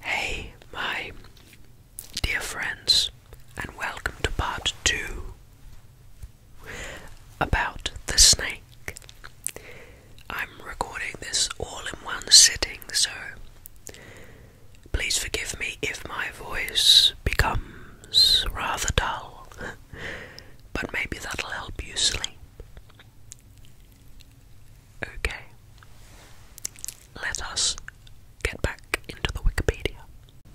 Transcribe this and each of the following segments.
Hey, my dear friends, and welcome to part two about the snake. I'm recording this all in one sitting, so please forgive me if my voice becomes rather dull, but maybe that'll help you sleep. Okay, let us get back into the Wikipedia.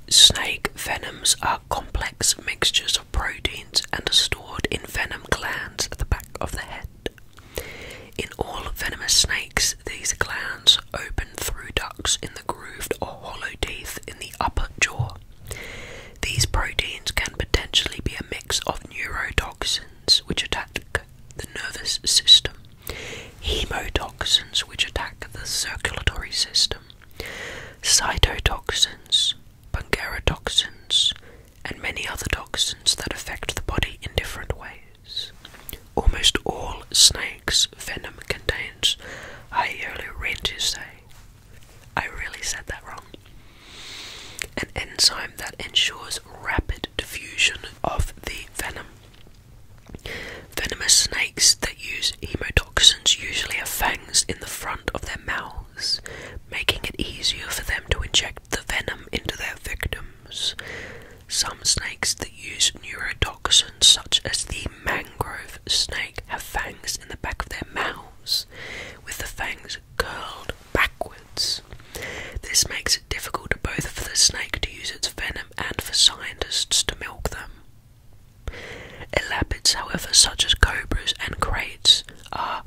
Snake venoms are complex mixtures of proteins and are stored in venom glands at the back of the head. In all venomous snakes, these glands open through ducts in the grooved or hollow teeth in the upper jaw. These proteins can potentially be a mix of neurotoxins which attack the nervous system hemotoxins, which attack the circulatory system, cytotoxins, bungarotoxins, and many other toxins that affect the body in different ways. Almost all snakes' venom contains I earlier read hyaluronidase. I really said that wrong. An enzyme that ensures rapid diffusion of the venom. Venomous snakes that use hemotoxins usually have fangs in the front of their mouths, making it easier for them to inject the venom into their victims. Some snakes that use neurotoxins, such as the mangrove snake, have fangs in the back of their mouths, with the fangs curled backwards. This makes difficult both for the snake to use its venom and for scientists to milk them. Elapids, however, such as cobras and crates, are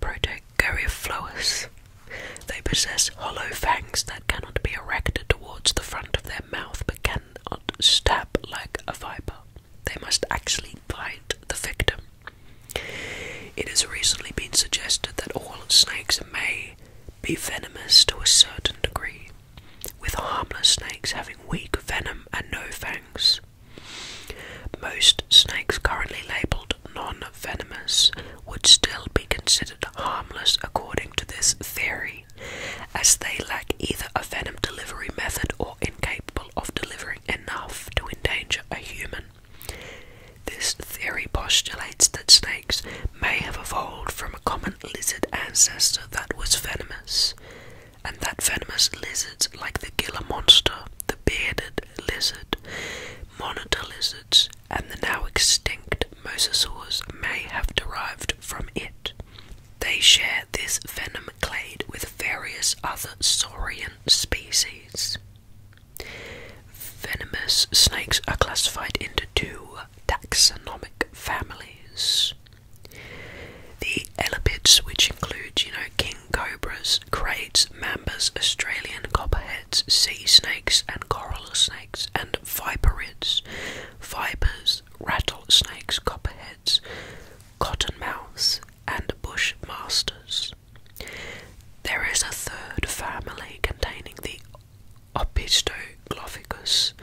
protagoryphloas. They possess hollow fangs that cannot be erected towards the front of their mouth but can stab like a viper. They must actually bite the victim. It has recently been suggested that all snakes may be venomous to a certain degree, with harmless snakes having weak venom and no fangs. Most snakes currently labelled non venomous would still be considered harmless according to this theory, as they lack either a venom delivery method or incapable of delivering enough to endanger a human. This theory postulates that snakes may have evolved from a common lizard ancestor that was venomous, and that venomous lizards like the Gila monster, the bearded lizard, monitor lizards, and the now extinct mosasaurs may have derived from it. They share this venom clade with various other saurian species. Venomous snakes are classified into two taxonomic families. The elapids, which include, you know, king cobras, crates, mambas, Australian copperheads, sea snakes, and coral snakes, and viperids, vipers, rattlesnakes, copperheads, cottonmouths, and bushmasters. There is a third family containing the Opistoglophicus,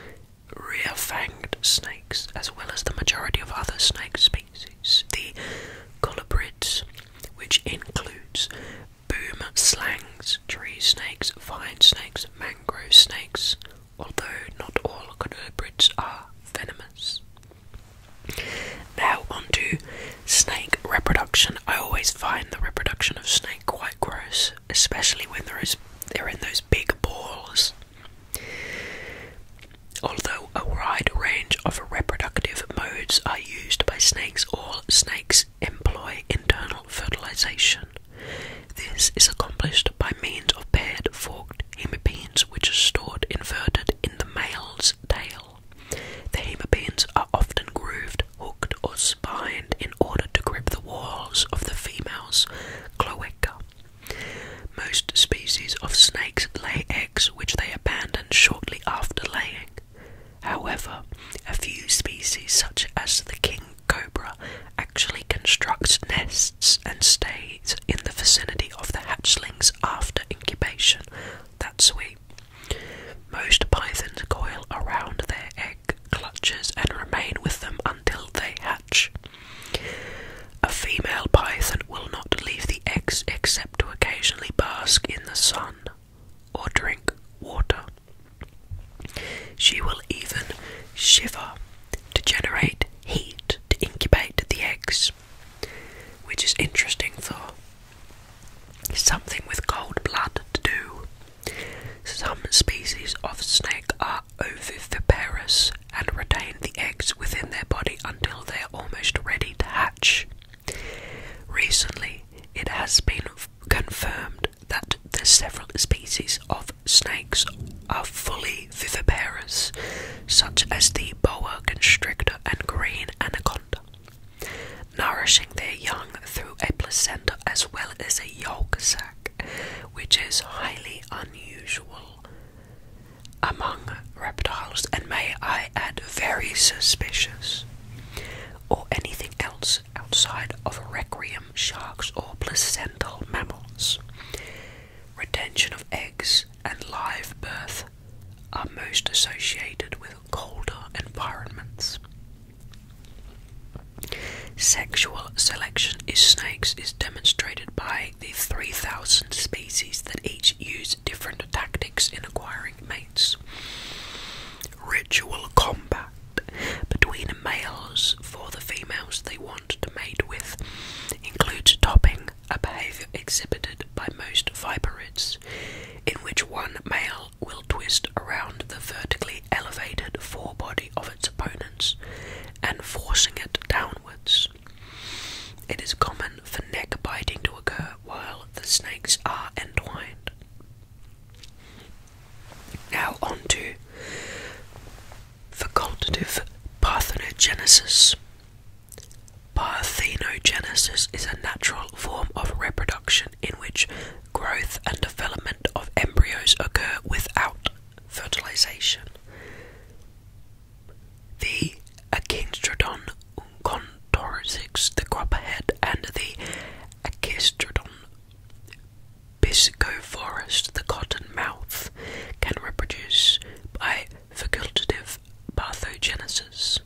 rear-fanged snakes, as well as the majority of other snake species, the colubrids, which includes boom slangs, tree snakes, vine snakes, mangrove snakes, although not all colubrids are venomous. Now onto Snake reproduction. I always find the reproduction of snake quite gross, especially when there is they're in those big balls. Although a wide range of reproductive modes are used by snakes, all snakes employ internal fertilization. This is accomplished by means of paired forked hemipenes, which are stored inverted in the male's tail. The hemipenes are often grooved, hooked, or spined in order to grip the walls of the female's cloaca. Most species of snakes lay eggs which they abandon shortly after laying. However, a few species, such as the king cobra, actually construct nests and stays in the vicinity of the hatchlings after incubation that's sweet. Most pythons coil around their egg clutches and remain with them until they hatch. A female python will not leave the eggs except to occasionally bask in the sun or drink water. She will even shiver to generate heat to incubate the eggs, which is interesting though. Something with cold blood to do. Some species of snake are oviparous and retain the eggs within their body until they're almost ready to hatch. Recently, it has been confirmed that the several species of snakes are fully viviparous, such as the boa constrictor and green anaconda nourishing their young through a placenta as well as a yolk sac, which is highly unusual among reptiles and may I add very suspicious, or anything else outside of requiem sharks or placental mammals. Retention of eggs and live birth are most associated with colder environments. Sexual selection in snakes is demonstrated by the 3,000 species that each use different tactics in acquiring mates. Ritual combat between males for the females they want to mate with includes topping, a behaviour exhibited by most viperids, in which one male will twist around the vertically elevated forebody of its opponents and forcing it downwards. It is common for neck biting to occur while the snakes are entwined. Now on to facultative parthenogenesis. Parthenogenesis is a natural form of reproduction in which growth and development of embryos occur without fertilization. The Akinstrodon uncontorcix, the copperhead, and the Achistrodon pisciforest, the cottonmouth, can reproduce by facultative pathogenesis.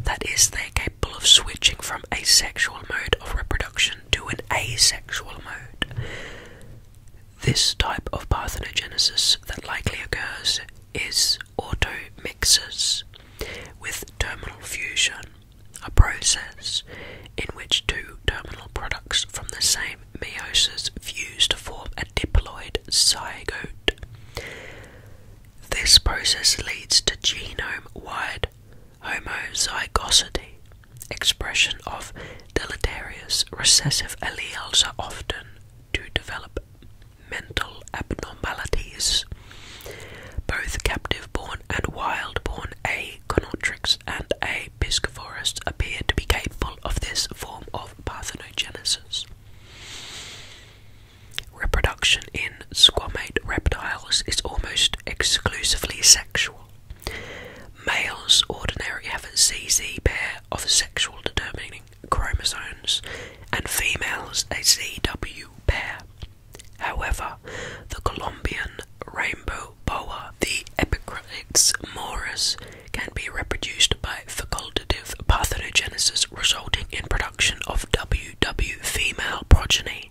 That is, they're capable of switching from a sexual mode of reproduction to an asexual mode. This type of parthenogenesis that likely occurs is automixis with terminal fusion, a process in which two terminal products from the same meiosis fuse to form a diploid zygote. This process leads to genome wide homozygosity. Expression of deleterious recessive alleles often to develop mental abnormalities. Both captive born and wild born A. gonotrix and A. piscivorus appear to be capable of this form of parthenogenesis. Reproduction in squamate reptiles is almost exclusively sexual. Males ordinarily have a ZZ pair of sexual determining chromosomes, and females a ZW pair. However, the Colombian rainbow boa, the Epicrates morus, can be reproduced by facultative parthenogenesis resulting in production of WW female progeny.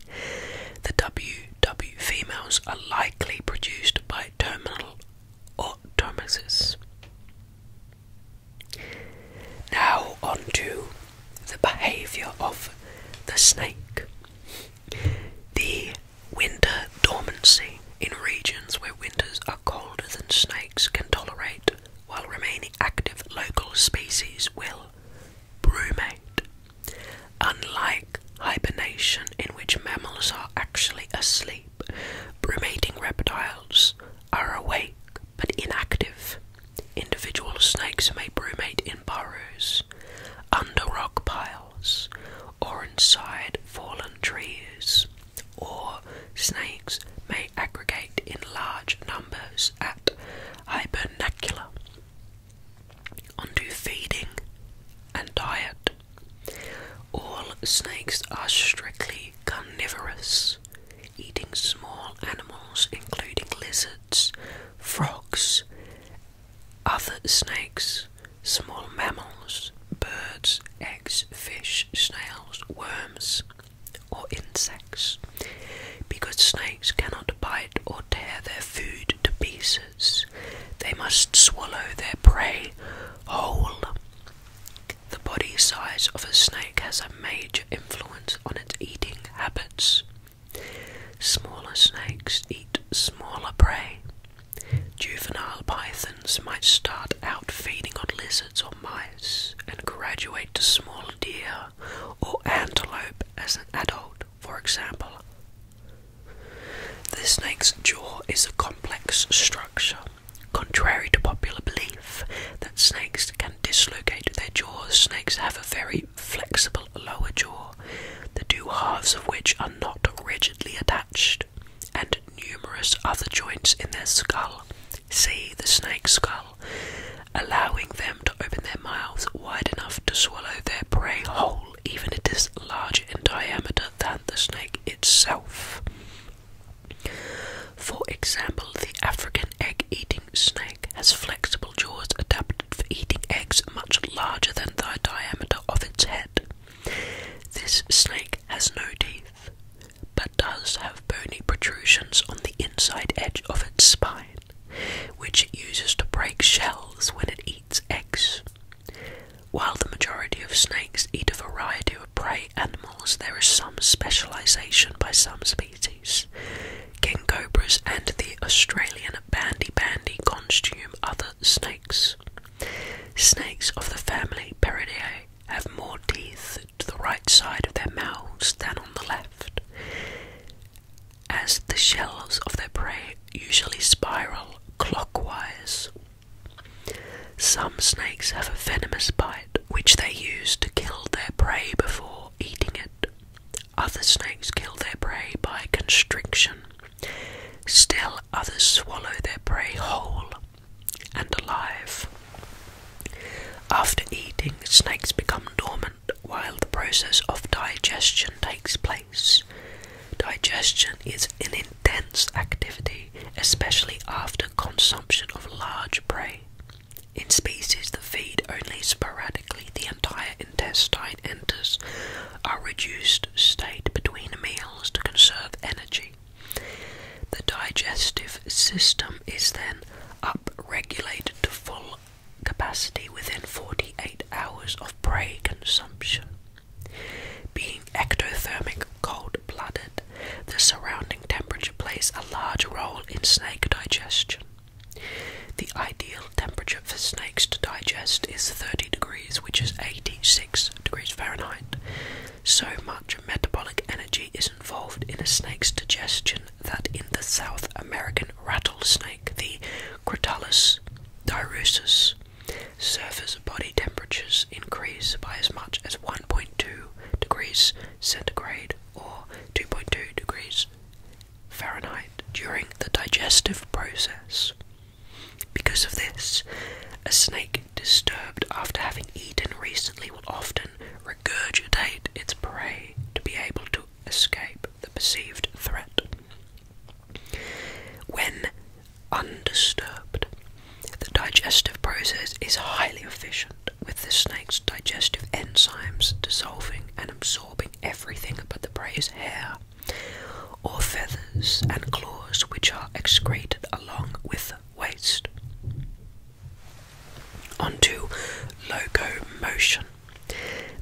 The WW females are likely produced by terminal automasis. Now onto the behaviour of the snake. The winter dormancy in regions where winters are colder than snakes can tolerate while remaining active local species will brumate. Unlike hibernation, in which mammals are actually asleep, brumating reptiles are awake but inactive. Individual snakes may brumate in burrows, under rock piles, or inside fallen trees, or snakes may aggregate in large numbers at hibernacula onto feeding and diet. All snakes are strictly carnivorous, eating small animals including lizards, frogs, other snakes, small mammals, birds, eggs, fish, snails, worms, or insects, because snakes cannot bite or tear their food to pieces. They must swallow their prey whole. The body size of a snake has a major influence on its eating habits. Smaller snakes eat smaller prey. Juvenile pythons might start out feeding on lizards or mice and graduate to smaller deer or antelope as an adult, for example. The snake's jaw is a complex structure. Contrary to popular belief that snakes can dislocate their jaws, snakes have a very flexible lower jaw, the two halves of which are not rigidly attached, and numerous other joints in their skull. See the snake skull allowing them to open their mouths wide enough to swallow their prey whole, even if it is larger in diameter than the snake itself. For example, the African egg eating snake has flexible jaws adapted for eating eggs much larger than the diameter of its head. This snake has no teeth but does have bony protrusions on the inside edge of its spine, which it uses to break shells when it eats eggs. While the majority of snakes eat a variety of prey animals, there is some specialization by some species. King cobras and the Australian bandy bandy consume other snakes. Snakes of the family Peridae have more teeth to the right side of their mouths than on the left, as the shells of their prey usually spiral clockwise. Some snakes have a venomous bite which they use to kill their prey before eating it. Other snakes kill their prey by constriction. Still, others swallow their prey whole and alive. After eating, snakes become dormant while the process of digestion takes place. Digestion is an intense activity, especially after consumption of large prey. In species that feed only sporadically, the entire intestine enters a reduced state between meals to conserve energy. The digestive system is then up regulated to full capacity within 48 hours of prey consumption. Being ectothermic, cold blooded, the surrounding temperature plays a large role in snake digestion. The ideal temperature for snakes to digest is 30 degrees, which is 86 degrees Fahrenheit. So much metabolic energy is involved in a snake's digestion that in the South American rattlesnake, the Crotalus dirusus, surface body temperatures increase by as much as 1.2 degrees centigrade or 2.2 degrees Fahrenheit during the digestive process. Because of this, a snake disturbed after having eaten recently will often regurgitate its prey to be able to escape the perceived threat. When undisturbed, the digestive process is highly efficient, with the snake's digestive enzymes dissolving and absorbing everything but the prey's hair or feathers and claws, which are excreted along with waste. Onto locomotion.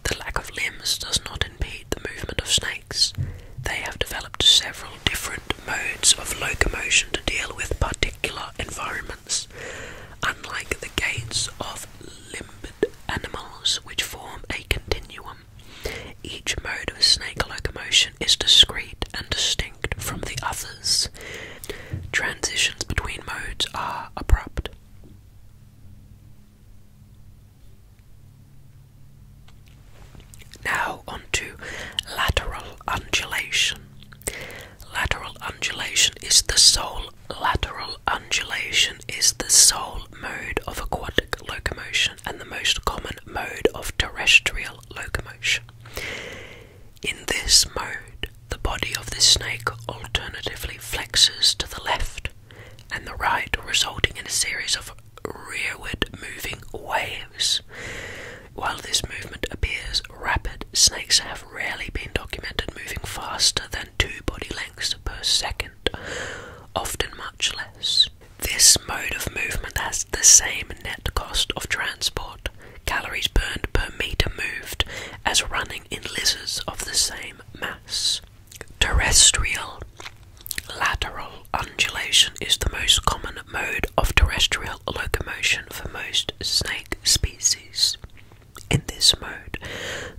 The lack of limbs does not impede the movement of snakes. They have developed several different modes of locomotion to deal with particular environments. Unlike the gaits of limbed animals, which form a continuum, each mode of snake locomotion is discrete and distinct from the others. Transitions between modes are abrupt. Now on to lateral undulation. Lateral undulation is the sole lateral undulation is the sole mode of aquatic locomotion and the most common mode of terrestrial locomotion. In this mode, the body of the snake alternatively flexes to the left and the right, resulting in a series of rearward moving waves. While this movement appears rapid, snakes have rarely been documented moving faster than two body lengths per second, often much less. This mode of movement has the same net cost of transport calories burned per meter moved as running in lizards of the same mass. Terrestrial lateral undulation is the most common mode of terrestrial locomotion for most snake species. In this mode,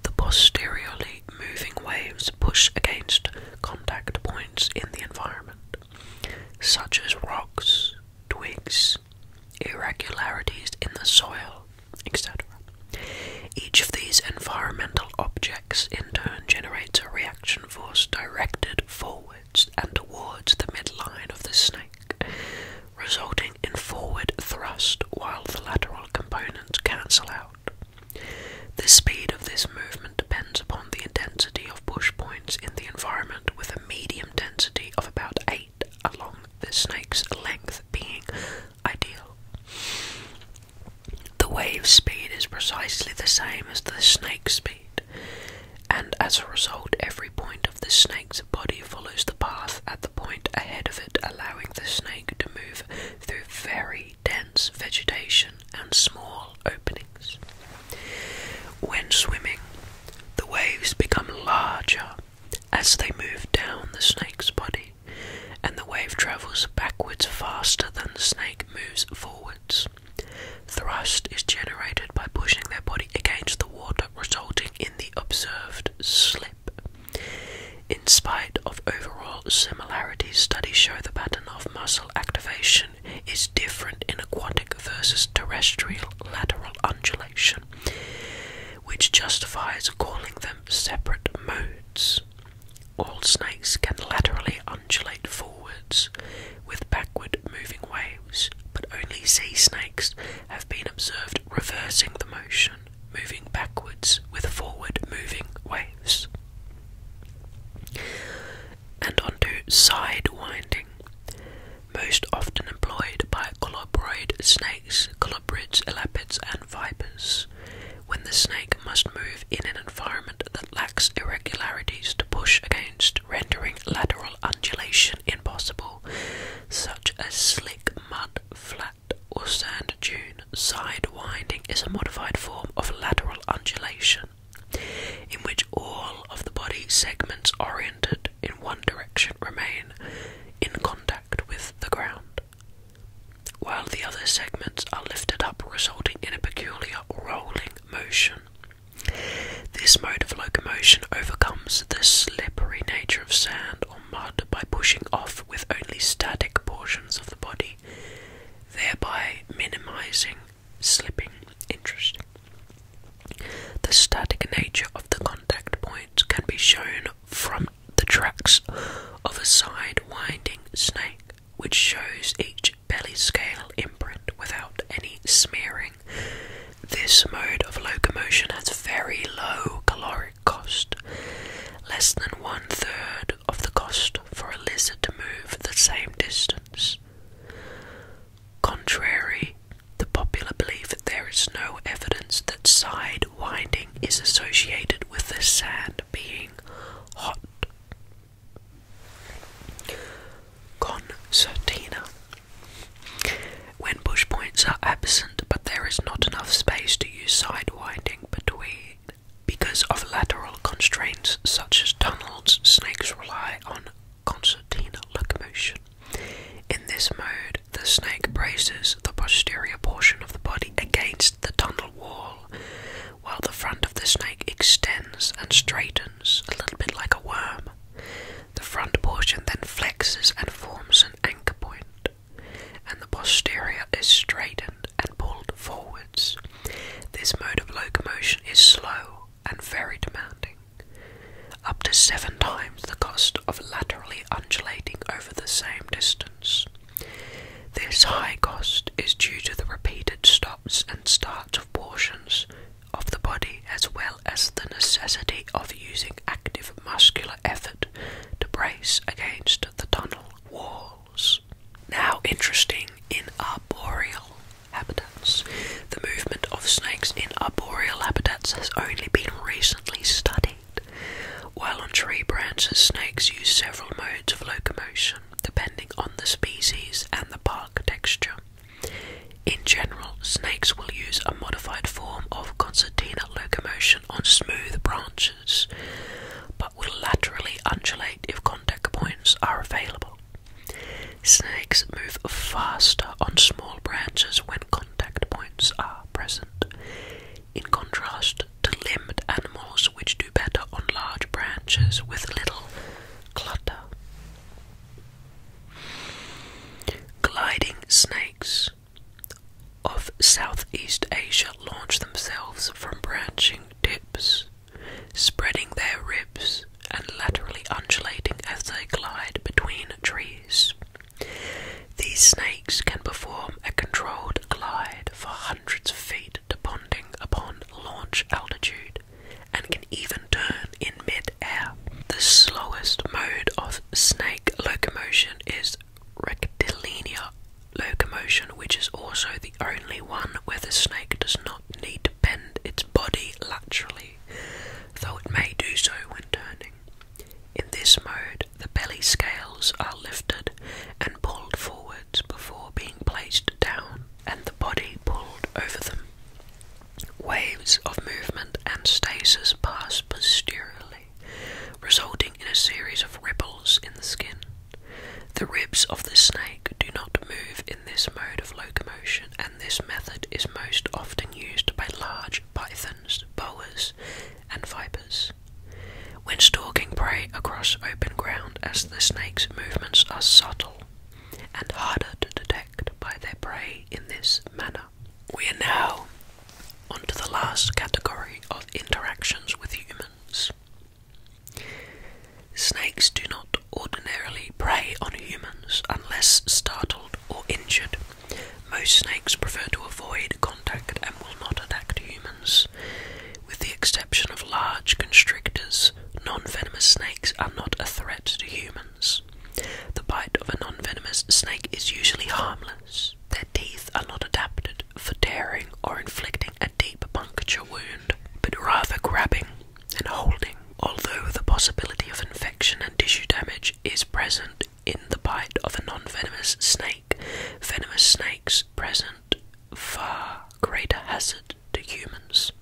the posteriorly moving waves push against contact points in the environment, such as rocks, twigs, irregularities in the soil, etc. Each of these environmental objects in turn generates a reaction force directed forwards and towards the midline of the snake, resulting in forward thrust while the lateral components cancel out. The speed of this movement depends upon the intensity of push points in the environment with a medium density of about 8 along the snake's length being ideal. The wave speed is precisely the same as the snake speed, and as a result, every point of the snake's body follows the path at the point ahead of it, allowing the snake to move through very dense vegetation and small openings. When swimming, the waves become larger as they move down the snake's body, and the wave travels backwards faster than the snake moves forwards. Thrust is generated by pushing their body against the water, resulting in the observed slip. In spite of overall similarities, studies show the pattern of muscle activation is different in aquatic versus terrestrial lateral undulation which justifies calling them separate modes. All snakes can laterally undulate forwards with backward moving waves, but only sea snakes have been observed reversing the motion, moving backwards with forward moving waves. And onto side winding most often employed by collaborate snakes, collabrids, elapids, and vipers, when the snake must move in an environment that lacks irregularities to push against, rendering lateral undulation impossible, such as slick mud, flat, or sand dune. sidewinding is a modified form of lateral undulation in which all of the body segments oriented in one direction remain in contact with the ground, while the other segments are lifted up, resulting in a peculiar rolling motion. This mode of locomotion overcomes the slippery nature of sand or mud by pushing off with only static portions of the body, thereby minimizing slipping. interest. The static nature of the contact points can be shown from the tracks of a side winding snake, which shows each belly scale imprint without any smearing. This mode of locomotion has very low caloric cost, less than one third of the cost for a lizard to move the same distance. Contrary the popular belief that there is no evidence that side winding is associated with the sand being hot. Concertina. When bush points are absent, but there is not enough space to use side winding between because of lateral constraints such as tunnels, snakes rely on concertina locomotion. In this mode, the snake braces the posterior portion of the body against the tunnel wall, while the front of the snake extends and straightens a little bit like a worm. The front portion then flexes and forms an anchor point, and the posterior is straightened and pulled forwards. This mode of locomotion is slow and very demanding up to seven times the cost of laterally undulating over the same distance. This high cost is due to the repeated stops and starts of portions of the body as well as the necessity of using active muscular effort to brace against the tunnel walls. Now interesting in arboreal habitats. The movement of snakes in arboreal habitats has only been recently studied. While on tree branches, snakes use several modes of locomotion depending on the species and the bark texture. In general, snakes will use a modified form of concertina locomotion on smooth branches, but will laterally undulate if contact points are available. Snakes move faster on small branches when contact points are present, in contrast to limbed animals which do better on large branches with little clutter. Gliding snakes of Southeast Asia launch themselves from branching tips, spreading their ribs and laterally undulating as they glide between trees. These snakes can perform a controlled glide for hundreds of feet depending upon launch altitude and can even turn in mid-air. The slowest mode of snake locomotion is rectilinear locomotion, which is also the only one where the snake does not need to bend its body laterally though it may do so when turning. In this mode, the belly scales are lifted and pulled forwards before being placed down, and the body pulled over them. Waves of movement and stasis pass posteriorly, resulting in a series of ripples in the skin. The ribs of the snake do not move in this mode of locomotion, and this method is most often used by large pythons, boas, and vipers. When stalking prey across open ground, as the snake's movements are subtle and harder to detect by their prey in this manner. We are now onto the last category of interactions with humans. Snakes do not ordinarily prey on humans unless startled or injured. Most snakes prefer to avoid contact and will not attack humans. With the exception of large constrictors, non venomous snakes are not a threat to humans. The bite of a non venomous snake is usually harmless. Their teeth are not adapted for tearing or inflicting a deep puncture wound, but rather grabbing and holding, although the possibility of infection and tissue damage is present in the bite of a non-venomous snake, venomous snakes present far greater hazard to humans.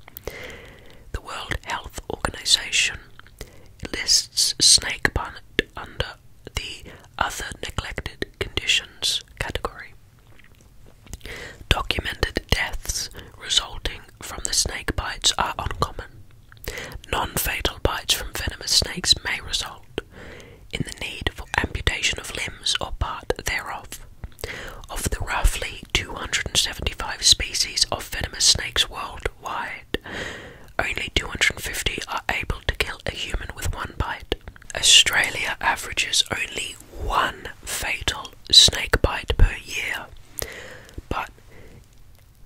The World Health Organization lists snake bite under the other neglected conditions category. Documented deaths resulting from the snake bites are uncommon. Non fatal bites from venomous snakes may result in the need for amputation of limbs or part thereof. Of the roughly 275 species of venomous snakes worldwide, only 250 are able to kill a human with one bite. Australia averages only one fatal snake bite per year, but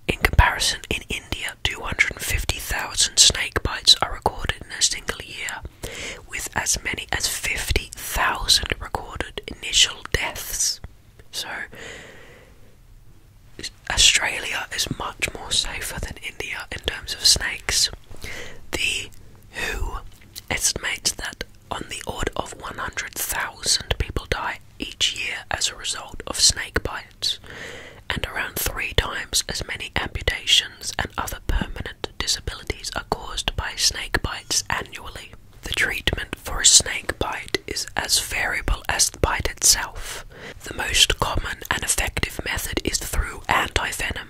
in comparison, in India, 250,000 snake bites are recorded in a single year, with as many as 50,000 recorded initial deaths. So, Australia is much more safer than India in terms of snakes. The WHO estimates that on the odd of 100,000 people die each year as a result of snake bites, and around three times as many amputations and other permanent disabilities are caused by snake bites annually. The treatment for a snake bite is as variable as the bite itself. The most common and effective method is through antivenom,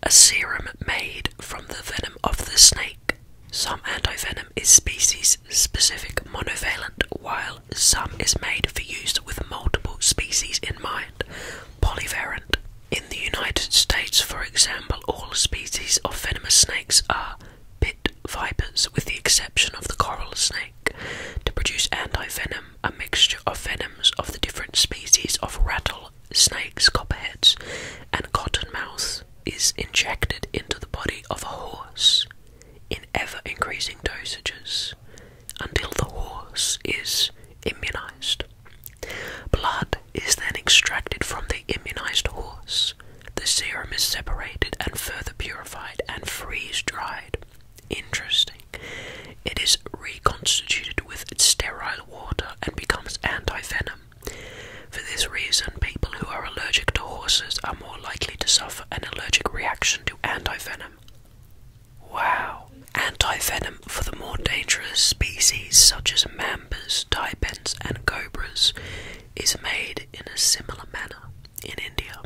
a serum made from the venom of the snake. Some antivenom is species-specific monovalent, while some is made for use with multiple species in mind, polyvalent. In the United States, for example, all species of venomous snakes are pit vipers, with the exception of the coral snake. To produce antivenom, a mixture of venoms of the different species of rattlesnakes, copperheads, and cottonmouths is injected into the body of a horse in ever increasing dosages until the horse is immunized. Blood is then extracted from the immunized horse. The serum is separated and further purified and freeze dried. Interesting. It is reconstituted with sterile water and becomes anti venom. For this reason, people who are allergic to horses are more likely to suffer an allergic reaction to antivenom. Wow! Antivenom for the more dangerous species such as mambas, taipans, and cobras is made in a similar manner in India,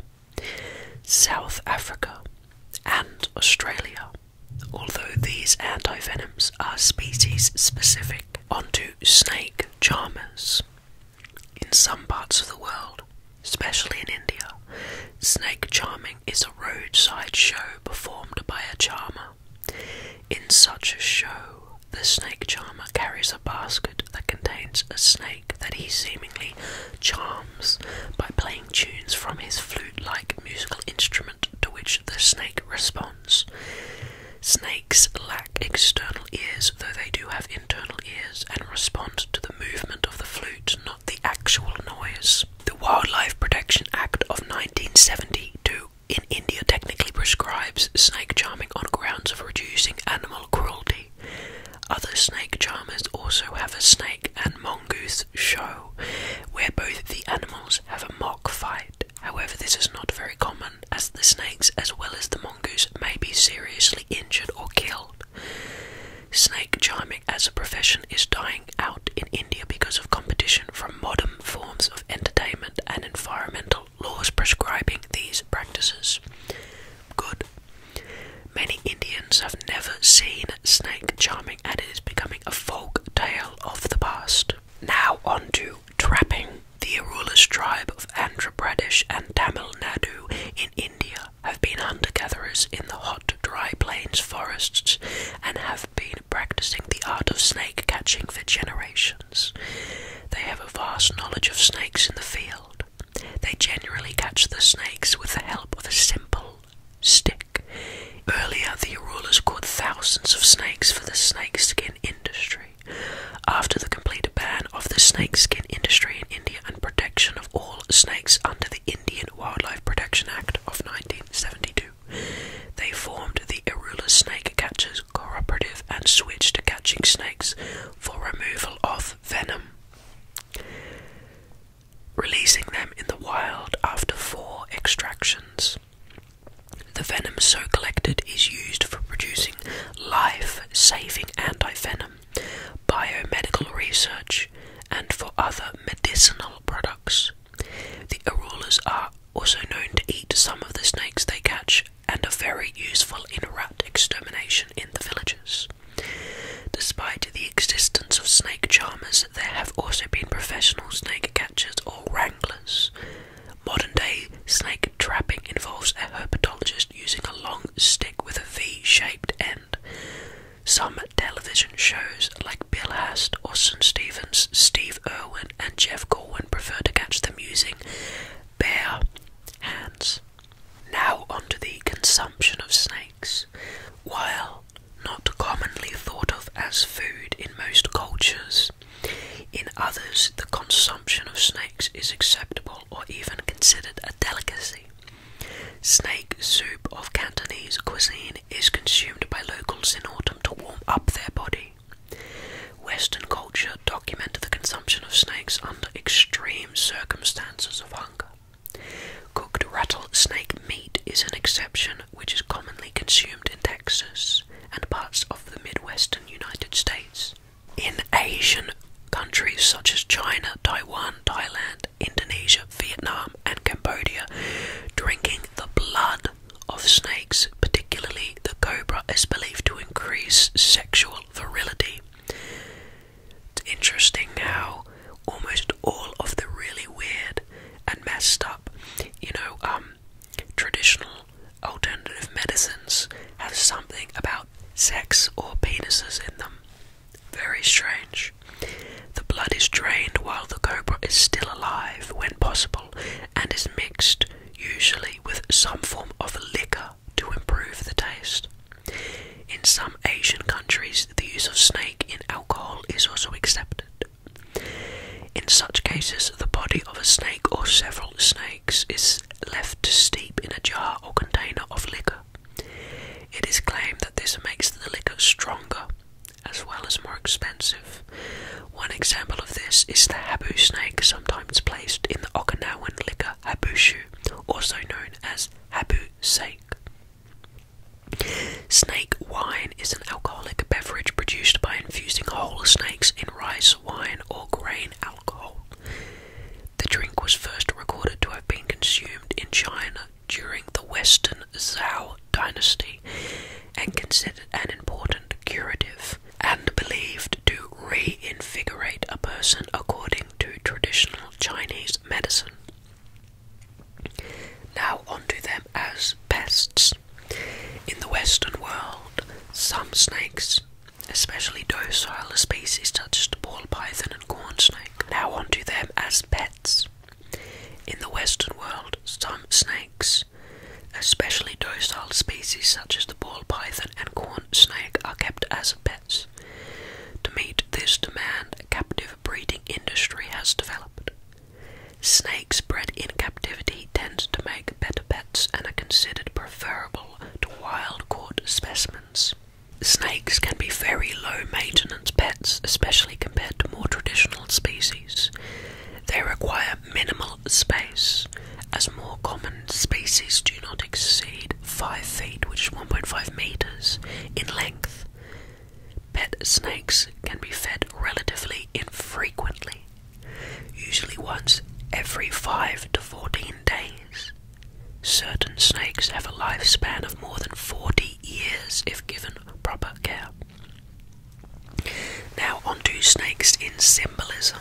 South Africa, and Australia, although these antivenoms are species specific. Onto snake charmers. In some parts of the world, especially in India, snake charming is a roadside show performed by a charmer. In such a show, the snake charmer carries a basket that contains a snake that he seemingly charms by playing tunes from his flute like musical instrument to which the snake responds. Snakes lack external ears, though they do have internal ears and respond to the movement of the flute, not the actual noise. The Wildlife Protection Act of 1972 in India technically prescribes snake charming on grounds of reducing animal cruelty. Other snake charmers also have a snake and mongoose show, where both the animals have a mock fight. However, this is not very common, as the snakes as well as the mongoose may be seriously injured or killed. Snake charming as a profession is dying out in India because of competition from modern forms of entertainment and environmental laws prescribing these practices. Good. Many Indians have never seen snake charming and it is becoming a folk tale of the past. Now on to trapping. The Arulas tribe of Andhra Pradesh and Tamil Nadu in India have been hunter gatherers in the hot, dry plains forests and have been practicing the art of snake catching for generations. They have a vast knowledge of snakes in the field. They generally catch the snakes with the help of a simple stick. Earlier, the Arulas caught thousands of snakes for the snake skin industry. After the complete ban of the snake skin industry in India and protection of all snakes under the Indian Wildlife Protection Act of 1972, they formed the Irula Snake Catchers Cooperative and switched to catching snakes for removal of venom. Releasing them in the wild after four extractions. The venom so collected is used for producing life saving antivenom, biomedical research, and for other medicinal products. The arulas are also known to eat some of the snakes they catch and are very useful in rat extermination in the villages. Despite the existence of snake charmers, there have also been professional snake catchers or wranglers Modern day snake trapping involves a herpetologist using a long stick with a V shaped end. Some television shows, like Bill Hast, Austin Stevens, Steve Irwin, and Jeff Corwin, prefer to catch them using bare hands. Now, onto the consumption of snakes. While not commonly thought of as food in most cultures, in others, the consumption of snakes is acceptable or even considered a delicacy. Snake soup of Cantonese cuisine is consumed by locals in autumn to warm up their body. Western culture documented the consumption of snakes under extreme circumstances of hunger. Cooked rattlesnake meat is an exception, which is commonly consumed in Texas and parts of the Midwestern United States. In Asian countries such as China, Taiwan, Thailand, Indonesia, Vietnam, and Cambodia, drinking the blood of snakes, particularly the cobra, is believed to increase sexual virility. It's interesting how almost all of the really weird and messed up, you know, um, traditional alternative medicines have something about sex or penises in them. Very strange. The blood is drained while the cobra is still alive when possible and is mixed, usually with some form of liquor, to improve the taste. In some Asian countries, the use of snake in alcohol is also accepted. In such cases, the body of a snake or several snakes is left to steep in a jar or container of liquor. It is claimed that this makes the liquor stronger as well as more expensive. One example of this is the habu snake, sometimes placed in the Okinawan liquor habushu, also known as habu sake. Snake wine is an alcoholic beverage produced by infusing whole snakes in rice wine, or grain alcohol. The drink was first recorded to have been consumed in China during the Western Zhou dynasty and considered an important curative and believed to reinvigorate a person according to traditional Chinese medicine. Now, onto them as pests. In the Western world, some snakes, especially docile species such as the ball python and corn snake, now onto as pets. In the Western world, some snakes, especially docile species such as the ball python and corn snake, are kept as pets. To meet this demand, a captive breeding industry has developed. Snakes bred in captivity tend to make better pets and are considered preferable to wild caught specimens. Snakes can be very low maintenance pets, especially compared to more traditional species. They require minimal space, as more common species do not exceed 5 feet, which is 1.5 meters, in length. Pet snakes can be fed relatively infrequently, usually once every 5 to 14 days. Certain snakes have a lifespan of more than 40 years if given proper care. Now, onto snakes in symbolism.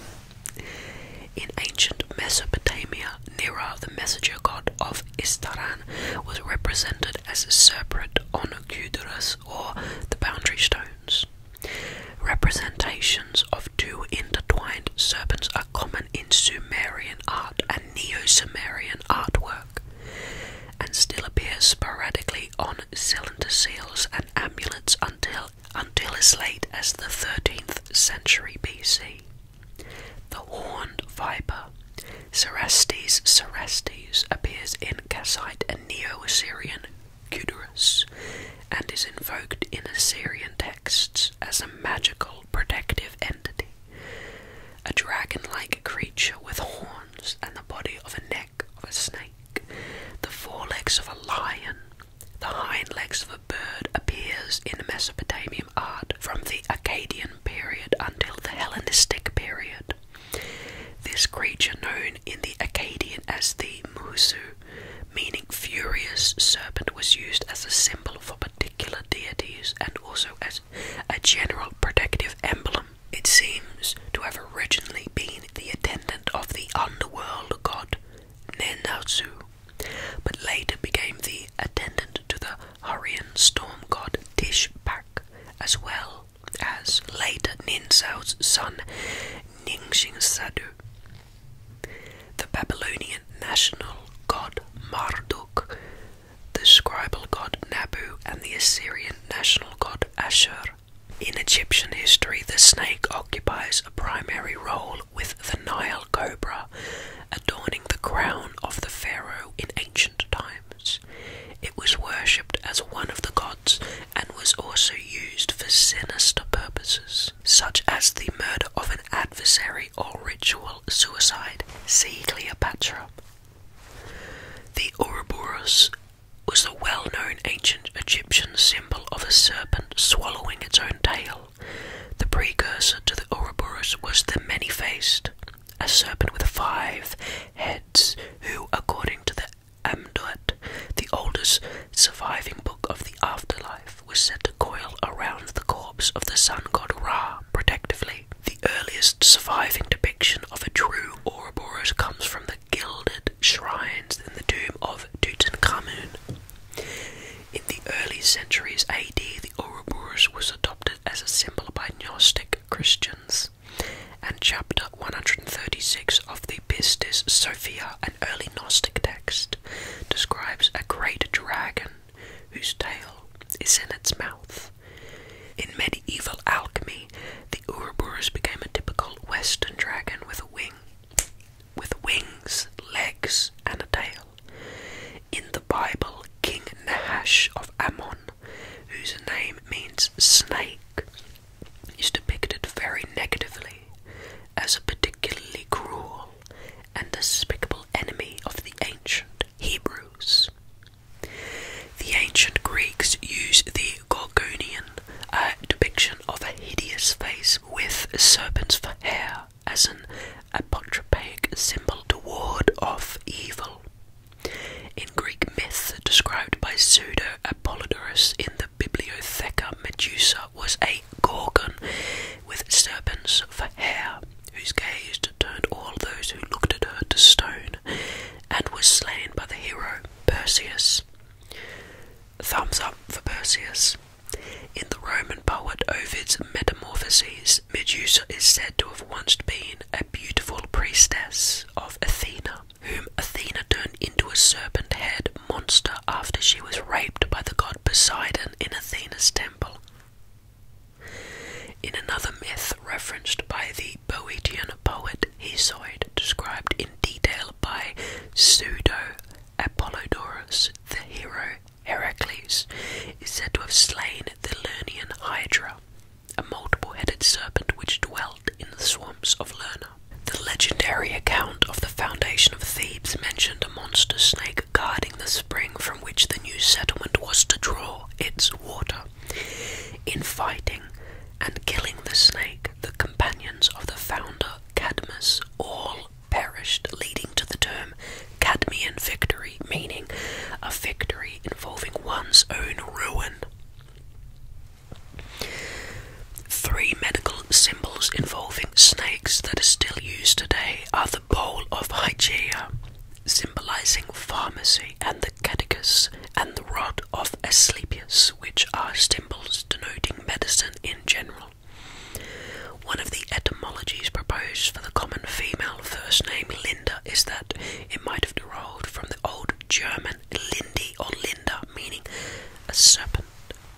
In ancient Mesopotamia, Nira, the messenger god of Istaran, was represented as a serpent on a Cudurus or the boundary stones. Representations of two intertwined serpents are common in Sumerian art and Neo-Sumerian artwork, and still appear sporadically on cylinder seals and amulets until until as late as the 13th century BC. The horned viper, Cerastes cerastes, appears in Kassite and Neo-Assyrian Kudurus, and is invoked in Assyrian texts as a magical protective entity, a dragon like creature with horns and the body of a neck of a snake, the forelegs of a lion. The hind legs of a bird appears in Mesopotamian art from the Akkadian period until the Hellenistic period. This creature known in the Akkadian as the Musu meaning furious serpent, was used as a symbol for particular deities and also as a general protective emblem. It seems to have originally been the attendant of the underworld god Nenatsu, but later became the attendant to the Hurrian storm god Tishpak, as well as later Ninsau's son Ningxing The Babylonian national god Marduk, the scribal god Nabu, and the Assyrian national god Ashur. In Egyptian history, the snake occupies a primary role with the Nile cobra, adorning the crown of the pharaoh in ancient times. It was worshipped as one of the gods and was also used for sinister purposes, such as the murder of an adversary or ritual suicide. See Cleopatra. The Ouroboros was the well known ancient Egyptian symbol of a serpent swallowing its own tail. The precursor to the Ouroboros was the Many Faced, a serpent with five heads, who, according to the Amduat, the oldest surviving book of the afterlife, was said to coil around the corpse of the sun god Ra protectively. The earliest surviving depiction of a true Ouroboros comes from the gilded shrines in the tomb of Tutankhamun. In the early centuries AD, the Ouroboros was adopted as a symbol by Gnostic Christians and chapter 136 of the Pistis Sophia, an early Gnostic text, describes a great dragon whose tail is in its mouth. In medieval alchemy, the Ouroboros became a typical Western dragon with a with wings, legs, and a tail. In the Bible, King Nahash of Ammon, whose name means snake, is depicted very negatively as a particularly cruel and despicable enemy of the ancient Hebrews. The ancient Greeks used the Gorgonian uh, depiction of a hideous face with serpents for hair as an apotropaic symbol to ward off evil. In Greek myths described by Pseudo Apollodorus in the Bibliotheca Medusa was a gorgon with serpents for hair, whose gaze turned all those who looked at her to stone, and was slain by the hero Perseus. Thumbs up for Perseus. In the Roman poet Ovid's Metamorphoses, Medusa is said to have once been a beautiful priestess of Athena whom Athena turned into a serpent headed monster after she was raped by the god Poseidon in Athena's temple. In another myth referenced by the Boeotian poet Hesiod, described in detail by Pseudo Apollodorus, the hero Heracles is said to have slain the Lernaean Hydra, a multiple headed serpent which dwelt in the swamps of Lerna. The legendary account of the foundation of Thebes mentioned a monster snake guarding the spring from which the new settlement was to draw its water. In fighting and killing the snake, the companions of the founder Cadmus all perished, leading to the term Cadmean victory, meaning a victory involving one's own ruin. Three medical symbols involving snakes that are still used today are the bowl of Hygeia, symbolizing pharmacy, and the caduceus and the rod of Asclepius, which are symbols denoting medicine in general. One of the etymologies proposed for the common female first name Linda is that it might have derived from the old German Latin Lindi or Linda, meaning a serpent.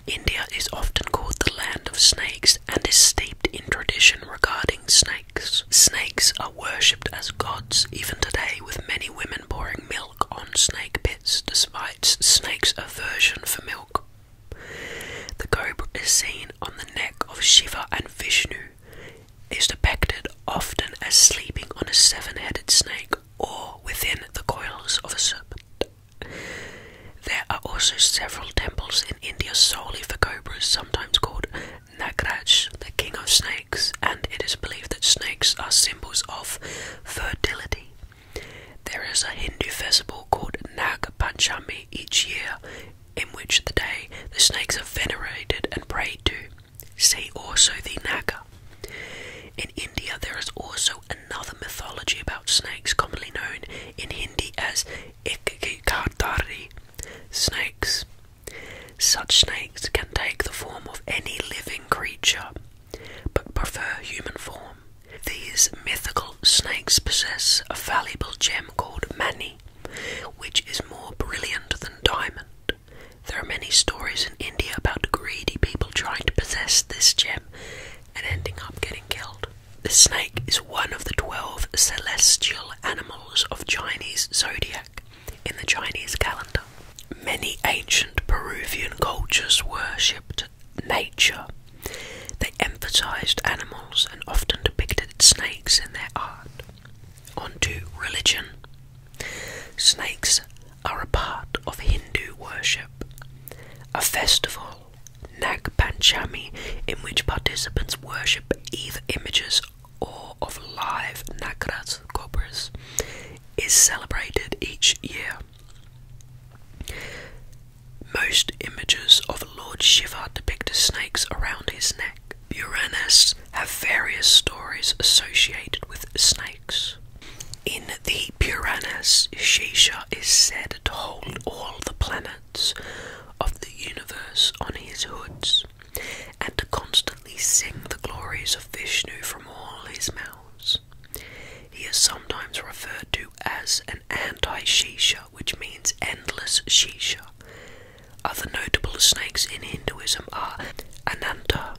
India is often called the land of snakes and is steeped in tradition regarding snakes. Snakes are worshipped as gods even today, with many women pouring milk on snake pits despite snakes' aversion for milk. The cobra is seen on the neck of Shiva and Vishnu, is depicted often as sleeping on a seven headed snake or within the coils of a serpent. There are also several temples in India solely for cobras, sometimes called Nagraj, the king of snakes, and it is believed that snakes are symbols of fertility. There is a Hindu festival called Nag Panchami each year, in which the day the snakes are venerated and prayed to. See also the Naga. In India, there is also another mythology about snakes, commonly known in Hindi as Ikkikardari snakes. Such snakes can take the form of any living creature, but prefer human form. These mythical snakes possess a valuable gem called mani, which is more brilliant than diamond. There are many stories in India about greedy people trying to possess this gem and ending up getting killed. The snake is one of the 12 celestial animals of Chinese zodiac in the Chinese calendar. Many ancient Peruvian cultures worshipped nature. They emphasized animals and often depicted snakes in their art. On to religion. Snakes are a part of Hindu worship. A festival, Nag Panchami, in which participants worship either images or of live Nagras cobras, is celebrated each year. Most images of Lord Shiva depict snakes around his neck. Uranus have various stories associated with snakes. In the Puranas, Shisha is said to hold all the planets of the universe on his hoods, and to constantly sing the glories of Vishnu from all his mouths. He is sometimes referred to as an anti-Shisha, which means endless Shisha. Other notable snakes in Hinduism are Ananta,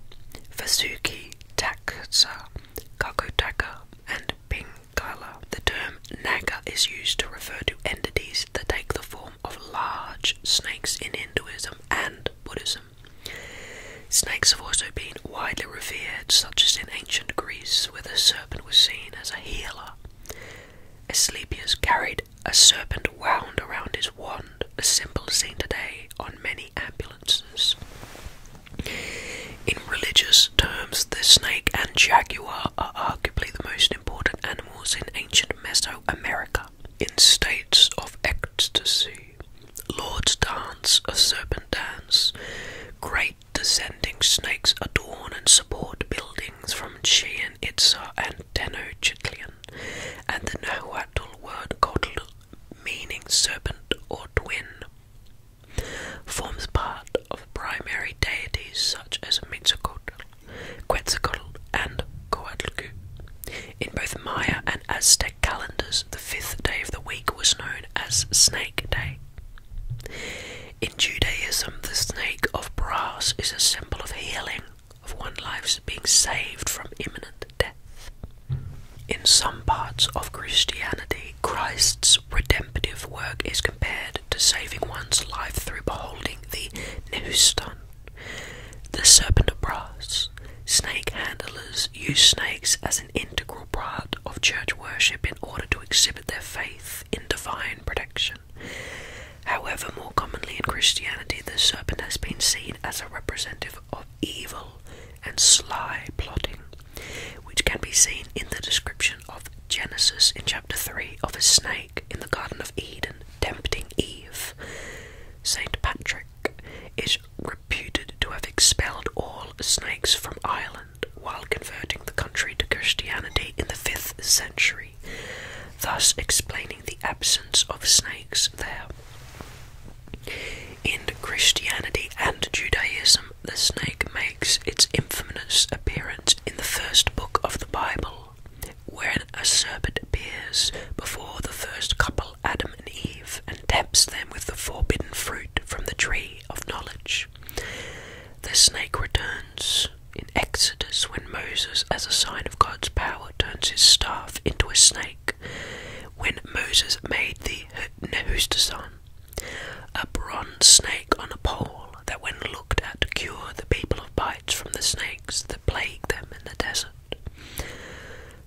Vasuki, Taksa, Kakutaka, and Pingala. The term naga is used to refer to entities that take the form of large snakes in Hinduism and Buddhism. Snakes have also been widely revered, such as in ancient Greece, where the serpent was seen as a healer. Asclepius carried a serpent wound around his wand, a symbol seen today on many ambulances. In religious terms, the snake and jaguar are arguably the most important animals in ancient Mesoamerica. In states of ecstasy, lords dance a serpent dance. Great descending snakes adorn and support buildings from Chichen Itza and Tenochtitlan, and the Nahuatl word called meaning serpent or twin, forms part of primary deities such as Mitzcoatl, Quetzalcoatl, and Coatlicue. In both Maya and Aztec calendars, the fifth day of the week was known as Snake Day. In Judaism, the snake of brass is a symbol of healing, of one life being saved from imminent death. In some parts of Christianity, Christ's redemptive work is compared to saving one's life through beholding the Neustan, the serpent of brass. Snake handlers use snakes as an integral part of church worship in order to exhibit their faith in divine protection. However, more commonly in Christianity, the serpent has been seen as a representative of evil and sly plotting, which can be seen in the description of Genesis in chapter 3 of a snake in the Garden of Eden tempting Eve. St. Patrick is reputed to have expelled all snakes from Ireland while converting the country to Christianity in the 5th century, thus explaining the absence of snakes there. In Christianity and Judaism, the snake makes its infamous appearance in the first book of the Bible, when a serpent appears before the first couple, Adam and Eve, and tempts them with the forbidden fruit from the tree of knowledge. The snake returns in Exodus when Moses, as a sign of God's power, turns his staff into a snake when Moses made the Nehushtan, a bronze snake on a pole that, when looked at, cure the people of bites from the snakes that plague them in the desert.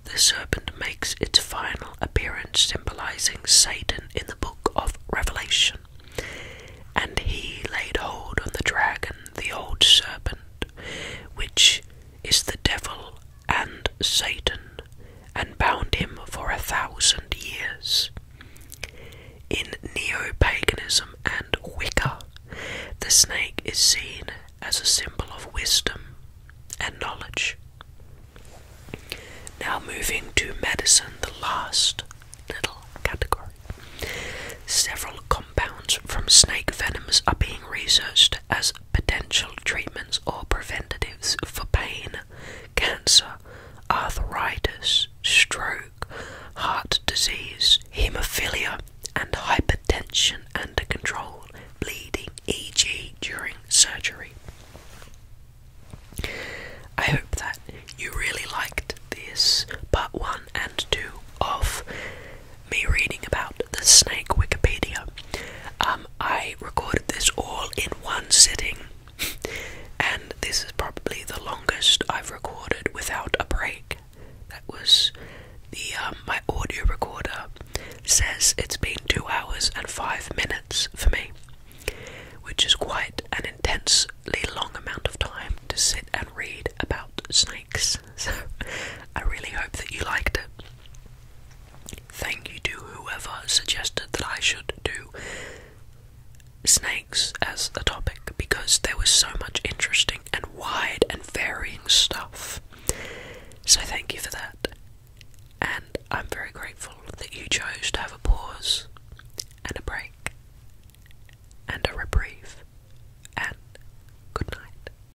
The serpent makes its final appearance, symbolizing Satan in the book of Revelation. And he laid hold on the dragon, the old serpent, which is the devil and Satan, and bound him for a thousand years. In neo paganism and Wicca, the snake is seen as a symbol of wisdom and knowledge. Now, moving to medicine, the last little category. Several compounds from snake venoms are being researched as potential treatments or preventatives for pain, cancer, arthritis, stroke, heart disease, haemophilia, and hypertension under control, bleeding, e.g., during surgery. I hope that you really liked this part one and two of me reading about the snake Wikipedia. Um, I recorded this all in one sitting, and this is probably the longest I've recorded without a break. That was the um, my audio recorder says it's been two hours and five minutes for me, which is quite an intensely long amount of time to sit and read about snakes. So I really hope that you liked it. Thank you to whoever suggested that I should do snakes as a topic because there was so much interesting and wide and varying stuff. So, thank you for that. And I'm very grateful that you chose to have a pause and a break and a reprieve and good night.